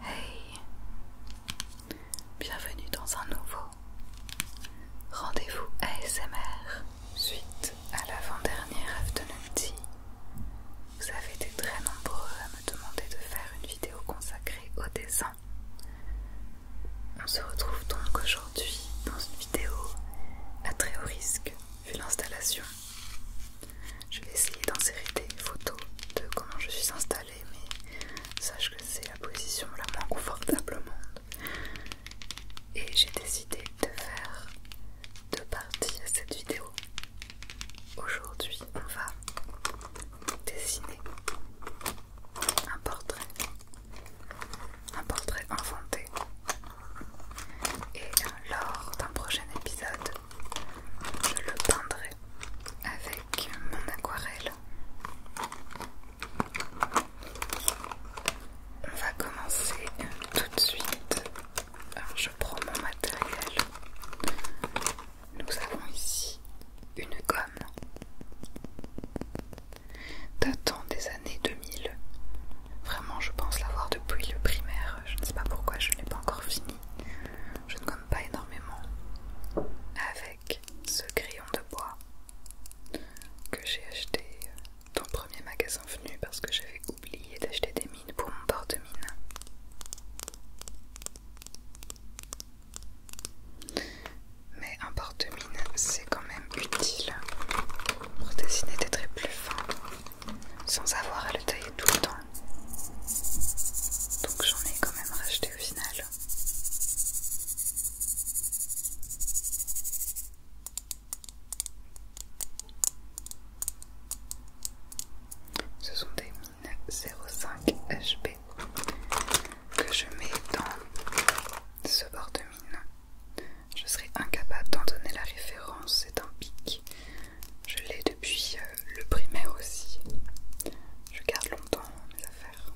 Hey Bienvenue dans un nouveau rendez-vous ASMR suite à l'avant-dernière afternoon Vous avez été très nombreux à me demander de faire une vidéo consacrée au dessin. On se retrouve donc aujourd'hui dans une vidéo à très haut risque vu l'installation je vais essayer d'insérer des photos de comment je suis installée, mais sache que c'est la position la moins confortable au monde. Et j'ai décidé de faire deux parties à cette vidéo. Aujourd'hui, on va dessiner un portrait, un portrait inventé. Et lors d'un prochain épisode, je le peindrai avec mon aquarelle. On va commencer tout de suite. je prends mon matériel. Nous avons ici une gomme datant des années 2000. Vraiment, je pense l'avoir depuis le primaire. Je ne sais pas pourquoi je n'ai pas encore fini. Je ne gomme pas énormément avec ce crayon de bois que j'ai acheté dans le premier magasin venu parce que j'avais oublié d'acheter des mines pour mon porte-mine. Mais un porte-mine c'est quand même utile pour dessiner des traits plus fins sans avoir à le tailler tout le temps. Donc j'en ai quand même racheté au final. Ce sont des mines 05 HB que je mets dans ce bord de mine. Je serais incapable d'en donner la référence, c'est un pic. Je l'ai depuis euh, le primaire aussi. Je garde longtemps mes affaires.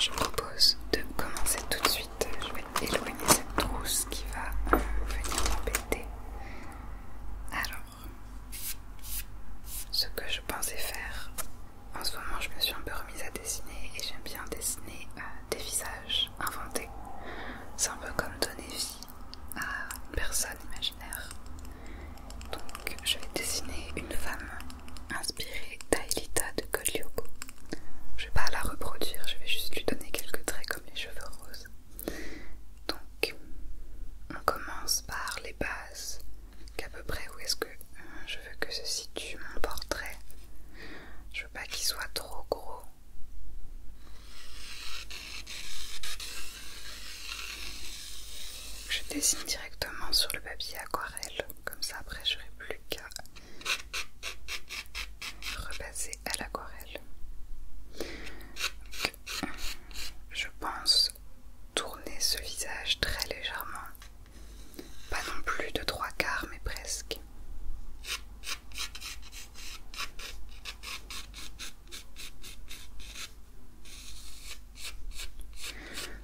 Je propose de commencer tout de suite. Je vais éloigner cette trousse qui va euh, venir m'embêter. Alors, ce que je pensais faire. En ce moment, je me suis un peu remise à dessiner et j'aime bien dessiner euh, des visages inventés. C'est un peu comme donner vie à une personne imaginaire. Donc, je vais dessiner une femme inspirée d'Aelita de Colioco. Je vais pas la reproduire, je vais juste lui donner quelques traits comme les cheveux roses. Donc, on commence par les bases qu'à peu près où est-ce que euh, je veux que se situe mon portrait. Je veux pas qu'il soit trop gros. Je dessine directement sur le papier aquarelle, comme ça après je n'aurai plus qu'à repasser à l'aquarelle. Je pense tourner ce visage très légèrement. Pas non plus de trois quarts, mais presque.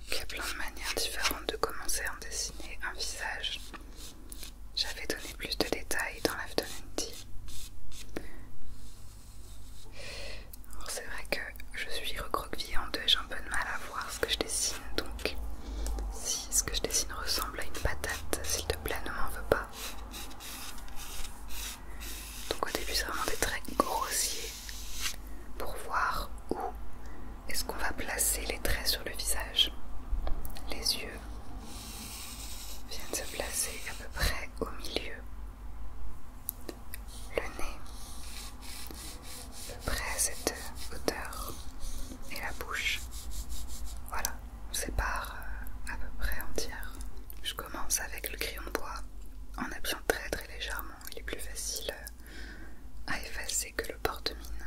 Il y a plein de manières différentes de commencer à en dessiner un visage. J'avais donné plus de détails dans l'afternoon tea. Alors c'est vrai que je suis recroquevillée en deux et j'ai un peu de mal à voir ce que je dessine, donc si ce que je dessine ressemble à une patate, s'il te plaît, ne m'en veux pas. Donc au début c'est vraiment des traits grossiers pour voir où est-ce qu'on va placer les traits sur le visage. Les yeux viennent se placer à peu près au milieu le nez, peu près à cette hauteur et la bouche. Voilà, on sépare euh, à peu près entière. Je commence avec le crayon de bois en appuyant très très légèrement. Il est plus facile euh, à effacer que le porte-mine.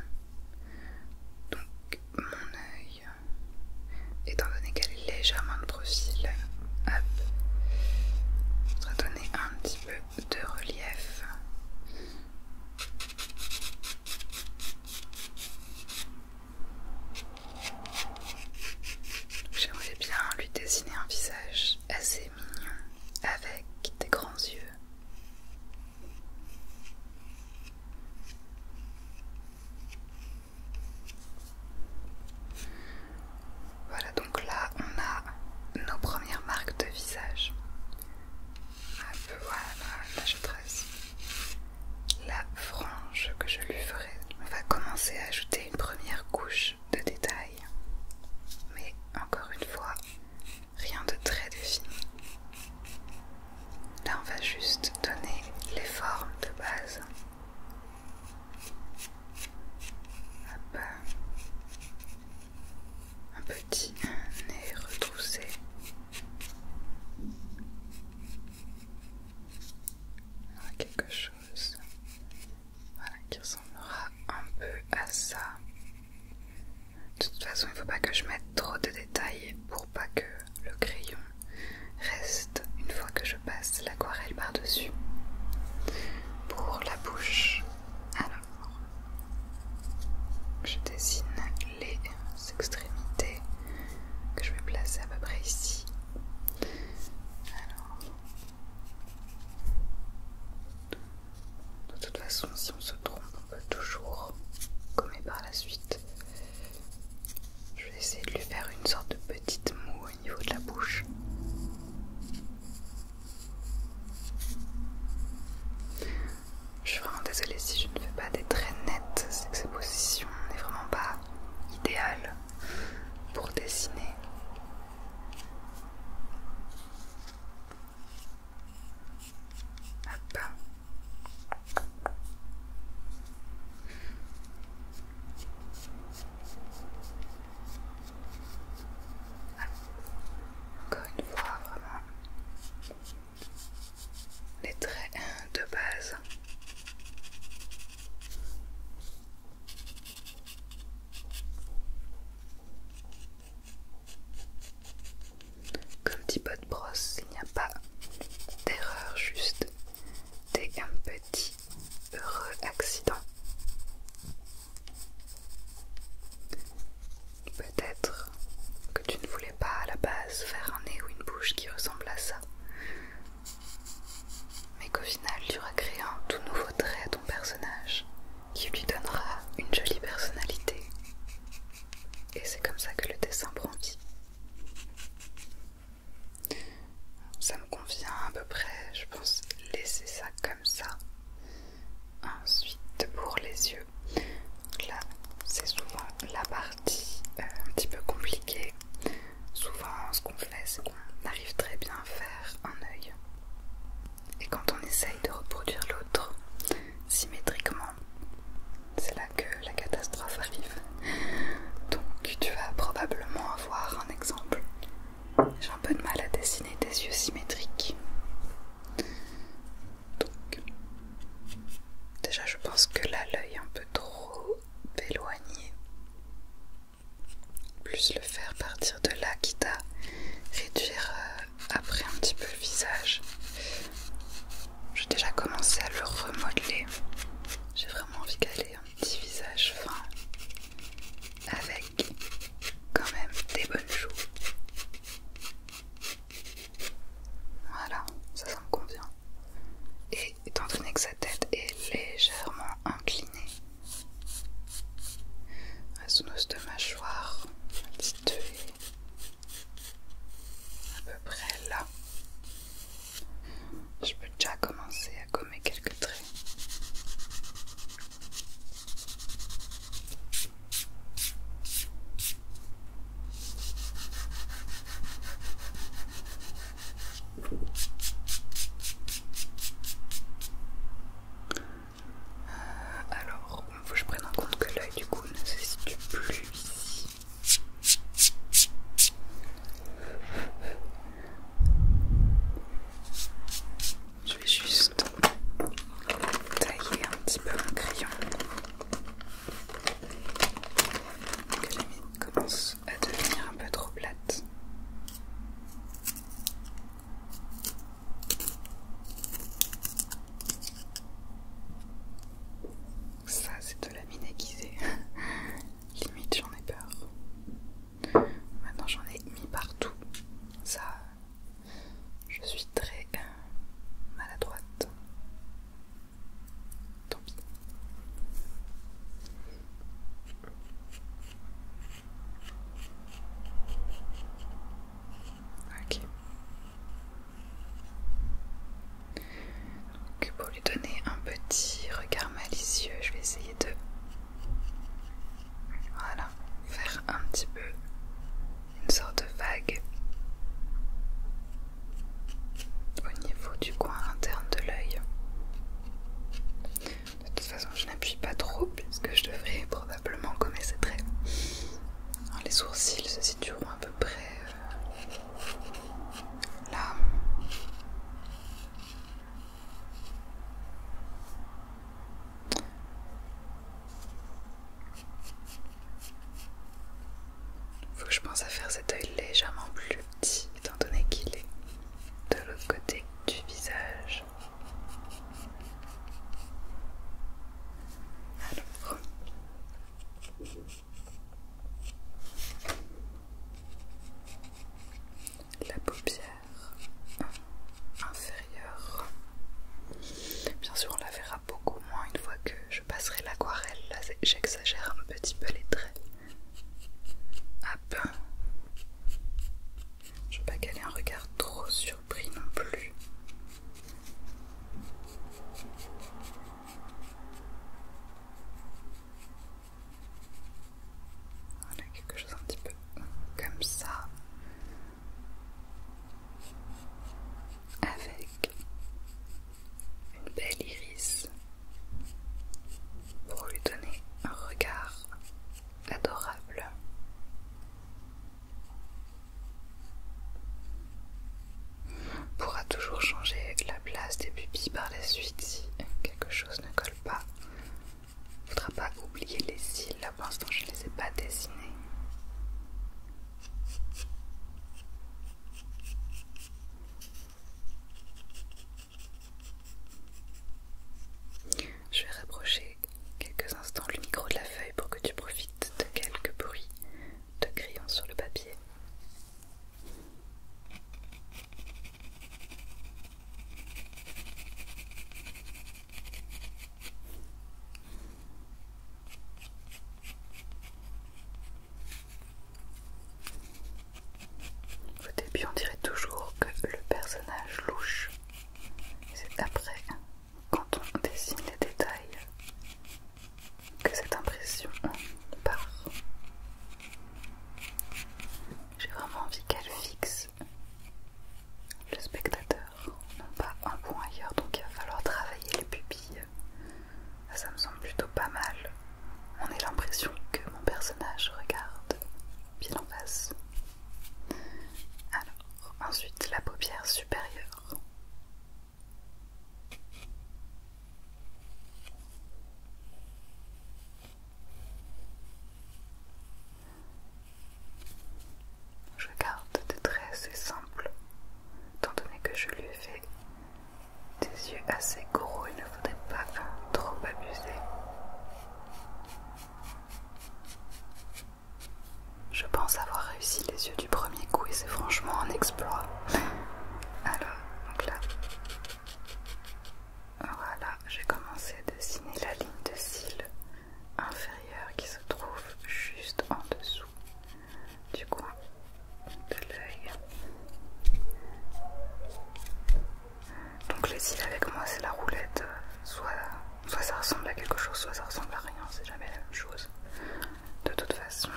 Donc mon œil, étant donné qu'elle est légèrement de profil, donner un petit peu de relief. J'aimerais bien lui dessiner un visage assez mignon avec des grands yeux. Voilà, donc là on a nos premières marques de visage. Un peu, voilà, là je trace la frange que je lui ferai. On va commencer à ajouter une première couche de détail. Mais encore une fois, rien de très défini. Là on va juste donner les formes de base. Un petit nez retroussé. quelque chose qui ressemblera un peu à ça. De toute façon, il ne faut pas que je mette trop de détails pour pas que le crayon reste une fois que je passe l'aquarelle par-dessus. Pour la bouche, alors je dessine les extrémités que je vais placer à peu près ici. Alors, de toute façon, si on se trompe, on peut toujours gommer par la suite. Je vais essayer de lui faire une sorte de petite moue niveau de la bouche. Je suis vraiment désolée si je ne fais pas des traits nets, c'est que cette position n'est vraiment pas idéale pour dessiner. Hop. Encore une fois, vraiment les traits de base. Comme dit Bot Brosse, il n'y a pas d'erreur, juste des un petit Heureux accident. Peut-être que tu ne voulais pas à la base faire un nez ou une bouche qui ressemble à ça, mais qu'au final tu auras créé un tout nouveau trait à ton personnage qui lui donnera une jolie personnalité. Et c'est comme ça que le dessin prend vie. Ça me convient à peu près, je pense laisser ça comme ça. Ensuite, pour les yeux, là c'est souvent la partie euh, un petit peu compliquée. Souvent, ce qu'on fait, c'est qu'on arrive très bien à faire un œil. Et quand on essaye de reproduire l'autre symétriquement, c'est là que la catastrophe arrive. Donc tu vas probablement avoir un exemple j'ai un peu de mal à dessiner des yeux symétriques. Donc, déjà, je pense que là, l'œil est un peu trop éloigné. Plus le faire partir de là, quitte à réduire euh, après un petit peu le visage. J'ai déjà commencé à le remodeler. J'ai vraiment envie d'aller ait un petit visage fin, avec quand même des bonnes joues. Voilà, ça, ça me convient. Et étant donné que sa tête est légèrement inclinée, son os de mâchoire située à peu près là, je peux déjà commencer à gommer quelques traits. Euh, alors, il faut que je prenne en compte que l'œil du coup ne se situe plus ici. Je vais juste tailler un petit peu mon crayon que la mine commence à devenir un peu trop plate. Ça, c'est de la mine aiguisée. Limite, j'en ai peur. Maintenant j'en ai mis partout. Ça, je suis très maladroite. Tant pis. Ok. Donc pour lui donner un petit regard malicieux, je vais essayer de voilà, faire un petit peu une sorte de vague au niveau du coin interne de l'œil. De toute façon, je n'appuie pas trop puisque je devrais probablement gommer ces traits. Hein, les sourcils se situeront à peu près euh, là. Faut que je pense à faire cet œil légèrement plus petit étant donné qu'il est de l'autre côté du visage. La paupière inférieure. Bien sûr, on la verra beaucoup moins une fois que je passerai l'aquarelle. Là, j'exagère un petit peu les traits. Hop. Ah ben. Je veux pas qu'elle ait un regard trop surpris non plus. Voilà, quelque chose un petit peu comme ça. Avec une belle iris pour lui donner un regard adorable. On pourra toujours changer la place des pupilles par la suite si quelque chose ne colle pas il ne faudra pas oublier les cils, là pour l'instant je ne les ai pas dessinés. Je vais rapprocher quelques instants le micro de la feuille pour que tu profites de quelques bruits de crayons sur le papier. Au début, on dirait toujours que le personnage louche. C'est après, quand on dessine les détails, que cette impression part. J'ai vraiment envie qu'elle fixe le spectateur, non pas un point ailleurs, donc il va falloir travailler les pupilles. Ah, ça me semble plutôt pas mal. On a l'impression que mon personnage regarde bien en face. Alors, ensuite la paupière supérieure. Je garde des traits assez simples, étant donné que je lui ai fait des yeux assez gros, il ne faudrait pas trop abuser. Je pense avoir réussi les yeux du premier coup et c'est franchement un exploit. Alors, donc là, voilà, j'ai commencé à dessiner la ligne de cils inférieure qui se trouve juste en dessous du coin de l'œil. Donc les cils avec moi c'est la roulette, soit, soit ça ressemble à quelque chose, soit ça ressemble à rien, c'est jamais la même chose. De toute façon,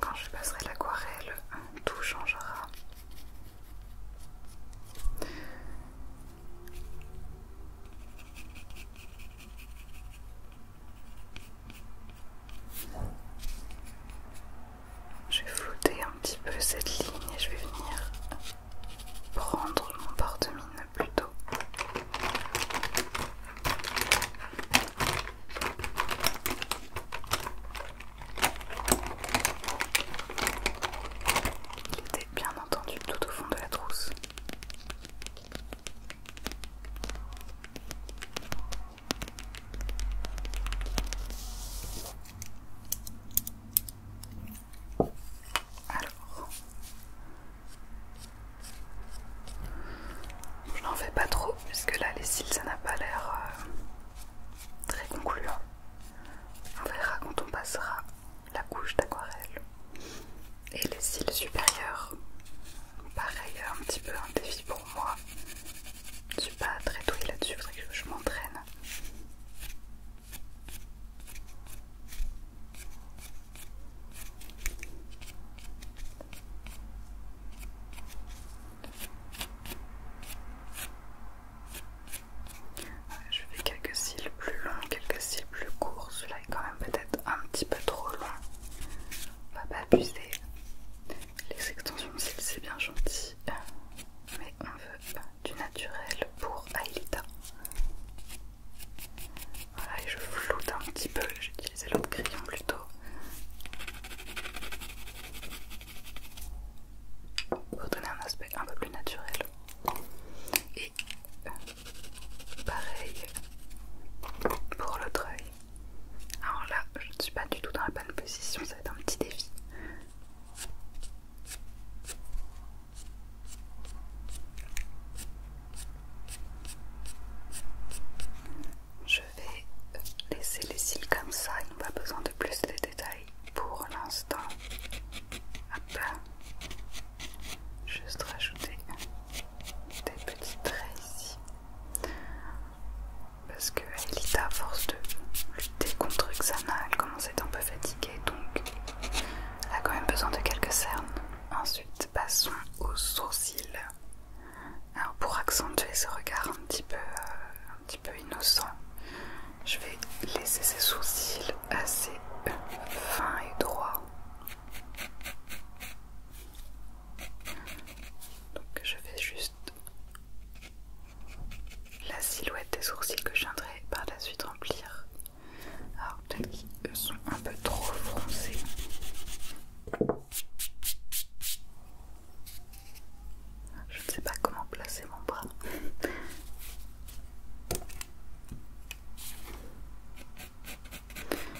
quand je passerai l'aquarelle, tout changera. Je vais flouter un petit peu cette ligne et je vais venir prendre mon porte-mine plutôt. Il était bien entendu tout au fond de la trousse. Alors, je n'en fais pas trop puisque là les cils ça n'a pas l'air euh, très concluant. On verra quand on passera la couche d'aquarelle. Et les cils supérieurs. pareil, un petit peu un défi pour moi. Je suis pas très douée là-dessus, faudrait que je m'entraîne. Je fais quelques cils plus longs, quelques cils plus courts. Celui-là est quand même peut-être un petit peu trop long. On va pas abuser. Les extensions de cils, c'est bien gentil. Mais on veut du naturel pour Aelita. Voilà, et je floute un petit peu. J'ai utilisé l'autre crayon plutôt pour donner un aspect un peu plus naturel. Et euh, pareil pour l'autre œil. Alors là, je ne suis pas du tout dans la bonne position, ça va être un petit défi. Je vais laisser les cils comme ça, ils n'ont pas besoin de plus pour l'instant. Hop Juste rajouter des petits traits ici. Parce que Elita, à force de lutter contre Xana, elle commence à être un peu fatiguée, donc elle a quand même besoin de quelques cernes. Ensuite, passons aux sourcils. Alors pour accentuer ce regard un petit peu, euh, un petit peu innocent. Je vais laisser ses sourcils assez fins et droits. Donc je vais juste la silhouette des sourcils que je viendrai par la suite remplir. Alors peut-être qu'ils sont un peu trop foncés. Je ne sais pas comment placer mon bras.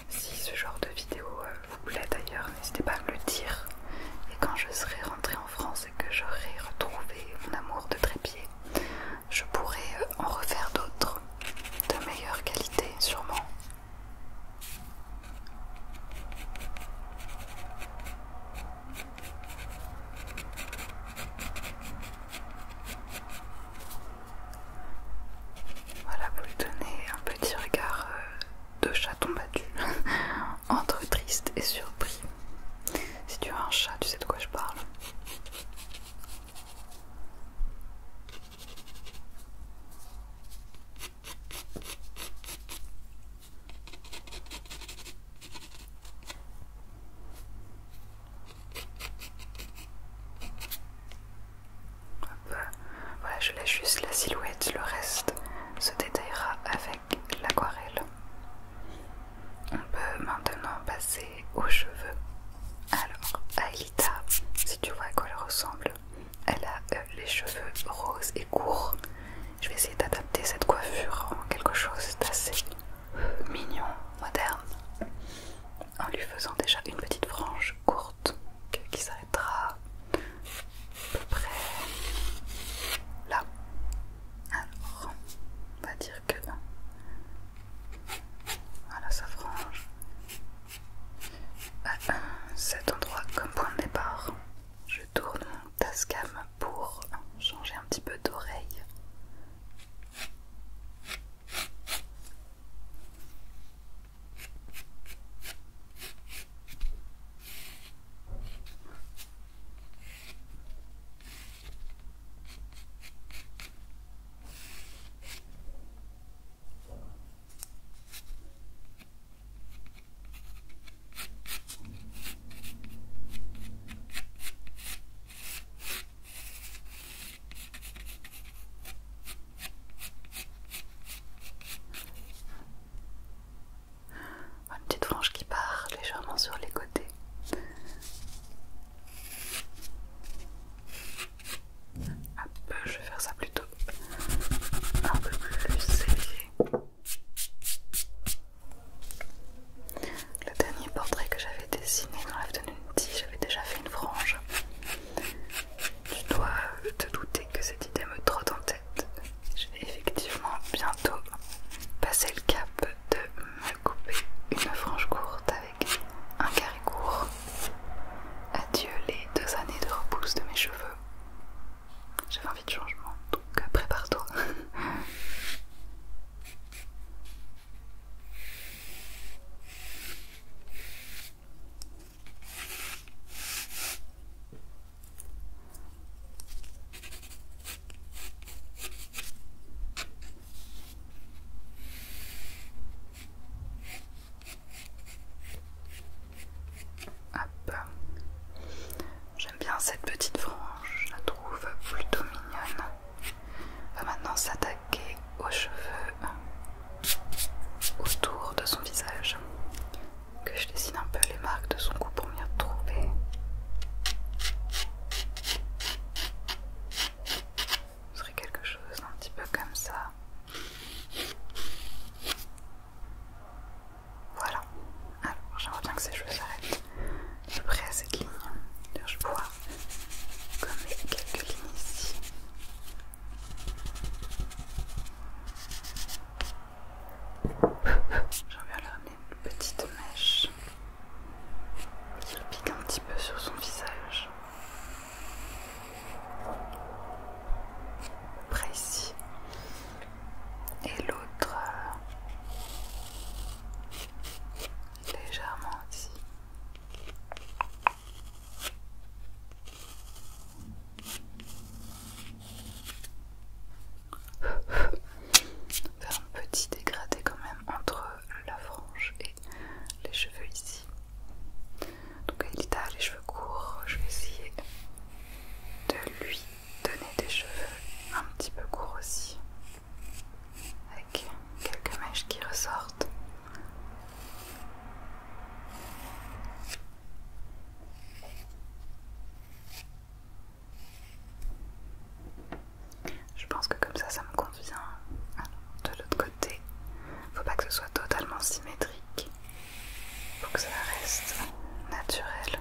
Si ce genre de vidéo euh, vous plaît d'ailleurs, n'hésitez pas à me le dire. Et quand je serai rentrée en France et que j'aurai retrouvé mon amour de trépied, je pourrai euh, en refaire d'autres de meilleure qualité, sûrement. Voilà, vous lui donnez un petit regard euh, de chaton battu, entre triste et surpris. Si tu as un chat, tu sais de quoi je parle. Voilà, je laisse juste la silhouette, le reste se détaillera avec l'aquarelle. On peut maintenant passer aux cheveux. Alors, Aelita, si tu vois à quoi elle ressemble, elle a euh, les cheveux roses court. Je vais essayer d'adapter cette coiffure en quelque chose d'assez euh, mignon, moderne, en lui faisant déjà une petite frange courte qui s'arrêtera à peu près là. Alors, on va dire que voilà sa frange à cet endroit comme point de départ. Je tourne Tascam pour changer un petit peu d'oreille. Une petite frange qui part légèrement sur les côtés. je vais faire ça plutôt un peu plus serré. Le dernier portrait que j'avais dessiné dans l'afternoon j'avais déjà fait une frange. Tu dois te douter que cette idée me trotte en tête. Je vais effectivement bientôt passer le cap de me couper une frange courte avec un carré court. Adieu les deux années de repousse de mes cheveux. J'ai envie de changement, donc après euh, toi J'aime bien cette petite frange, je la trouve plutôt mignonne. On va maintenant s'attaquer aux cheveux autour de son visage. Que je dessine un peu les marques de son cou pour m'y retrouver. Ce serait quelque chose un petit peu comme ça. Voilà. Alors, j'aimerais bien que ces cheveux s'arrêtent. Je près à cette ligne. je vois comme quelques lignes ici. J'aimerais bien leur donner une petite mèche qui pique un petit peu sur son visage. Après ici, et l'autre euh, légèrement ici. Faire un petit dégradé quand même entre la frange et les cheveux ici. Donc Elita a les cheveux courts, je vais essayer de lui donner des cheveux un petit peu courts aussi, avec quelques mèches qui ressortent. Je pense que comme ça, ça me convient. Hein. de l'autre côté, faut pas que ce soit totalement symétrique, faut que ça reste naturel.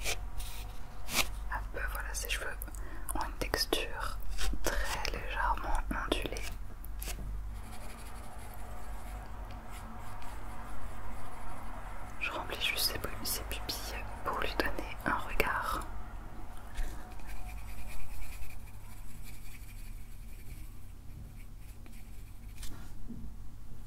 peu, ah, bah voilà, ses cheveux ont une texture très légèrement ondulée. Je remplis juste ses pupilles pour lui donner un regard.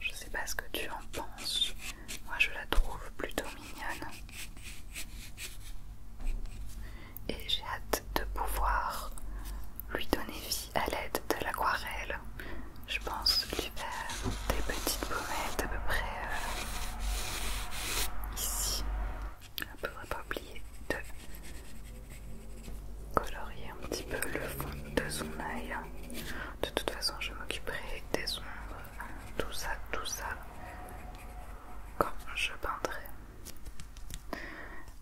je sais pas ce que tu en penses. Moi je la trouve plutôt mignonne. Et j'ai hâte de pouvoir lui donner vie à l'aide de l'aquarelle. Je pense lui faire des petites pommettes à peu près euh, ici. On ne pas oublier de colorier un petit peu le fond de son œil. De toute façon, je m'occuperai des ombres, tout ça, tout ça, quand je peindrai.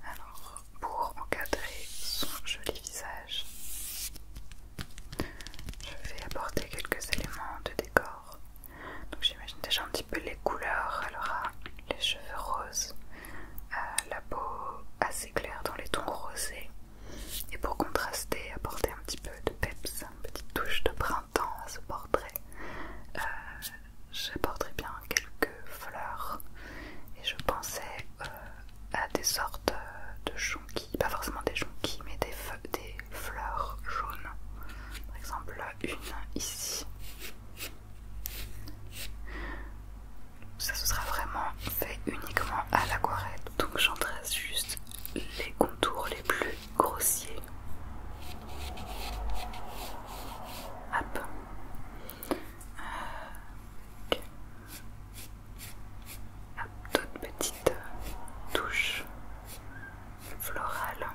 Alors, pour encadrer son joli visage, je vais apporter quelques éléments de décor. Donc, j'imagine déjà un petit peu les couleurs. Elle aura ah, les cheveux roses, euh, la peau assez claire dans les tons rosés. Et pour contraster, apporter un petit peu de peps, une petite touche de printemps à ce portrait, euh, j'apporterai bien quelques fleurs. Et je pensais euh, à des sortes de jonquilles, pas forcément des jonquilles, mais des, des fleurs jaunes. Par exemple, une ici ça ce sera vraiment fait uniquement à l'aquarelle. Donc j'en juste les contours les plus grossiers. Hop. Euh, Hop, toute touche florale.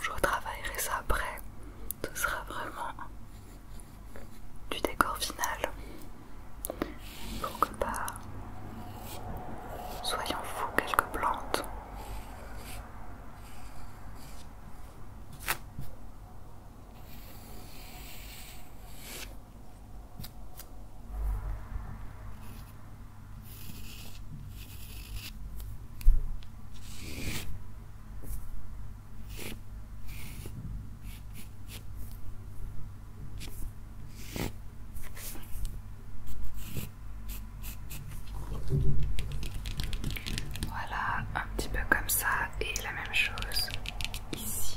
Je retravaillerai ça après. Ce sera vraiment du décor final pour pas soyons fous quelques plantes. Voilà, un petit peu comme ça et la même chose ici.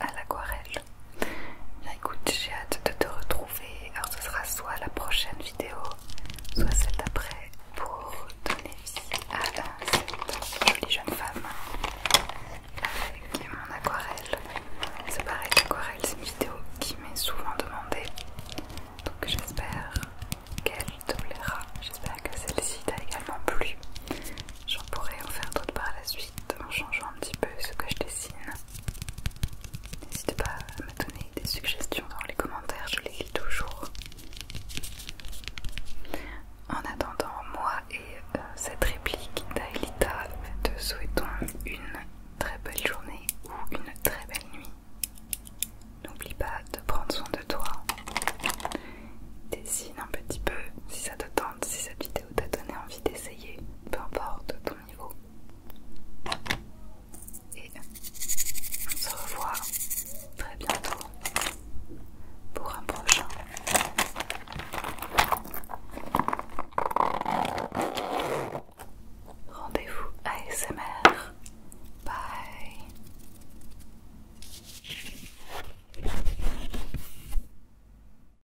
à l'aquarelle. Bien bah, écoute, j'ai hâte de te retrouver. Alors ce sera soit la prochaine vidéo, soit celle d'après pour donner vie à cette jolie jeune femme avec mon aquarelle. C'est pareil, l'aquarelle c'est une vidéo qui m'est souvent demandée. Donc j'espère qu'elle te plaira. J'espère que celle-ci t'a également plu. J'en pourrai en faire d'autres par la suite en changeant un petit peu ce que je dessine. N'hésite pas à me donner des suggestions dans les commentaires, je les lis toujours. En attendant, moi et euh, cette réplique d'Aelita te souhaitons une très belle journée ou une très belle nuit. N'oublie pas de prendre soin de toi. Dessine un petit peu si ça te tente, si ça vidéo ou t'a donné envie d'essayer, peu importe ton niveau. Et on se revoit très bientôt pour un prochain. Rendez-vous ASMR. Bye.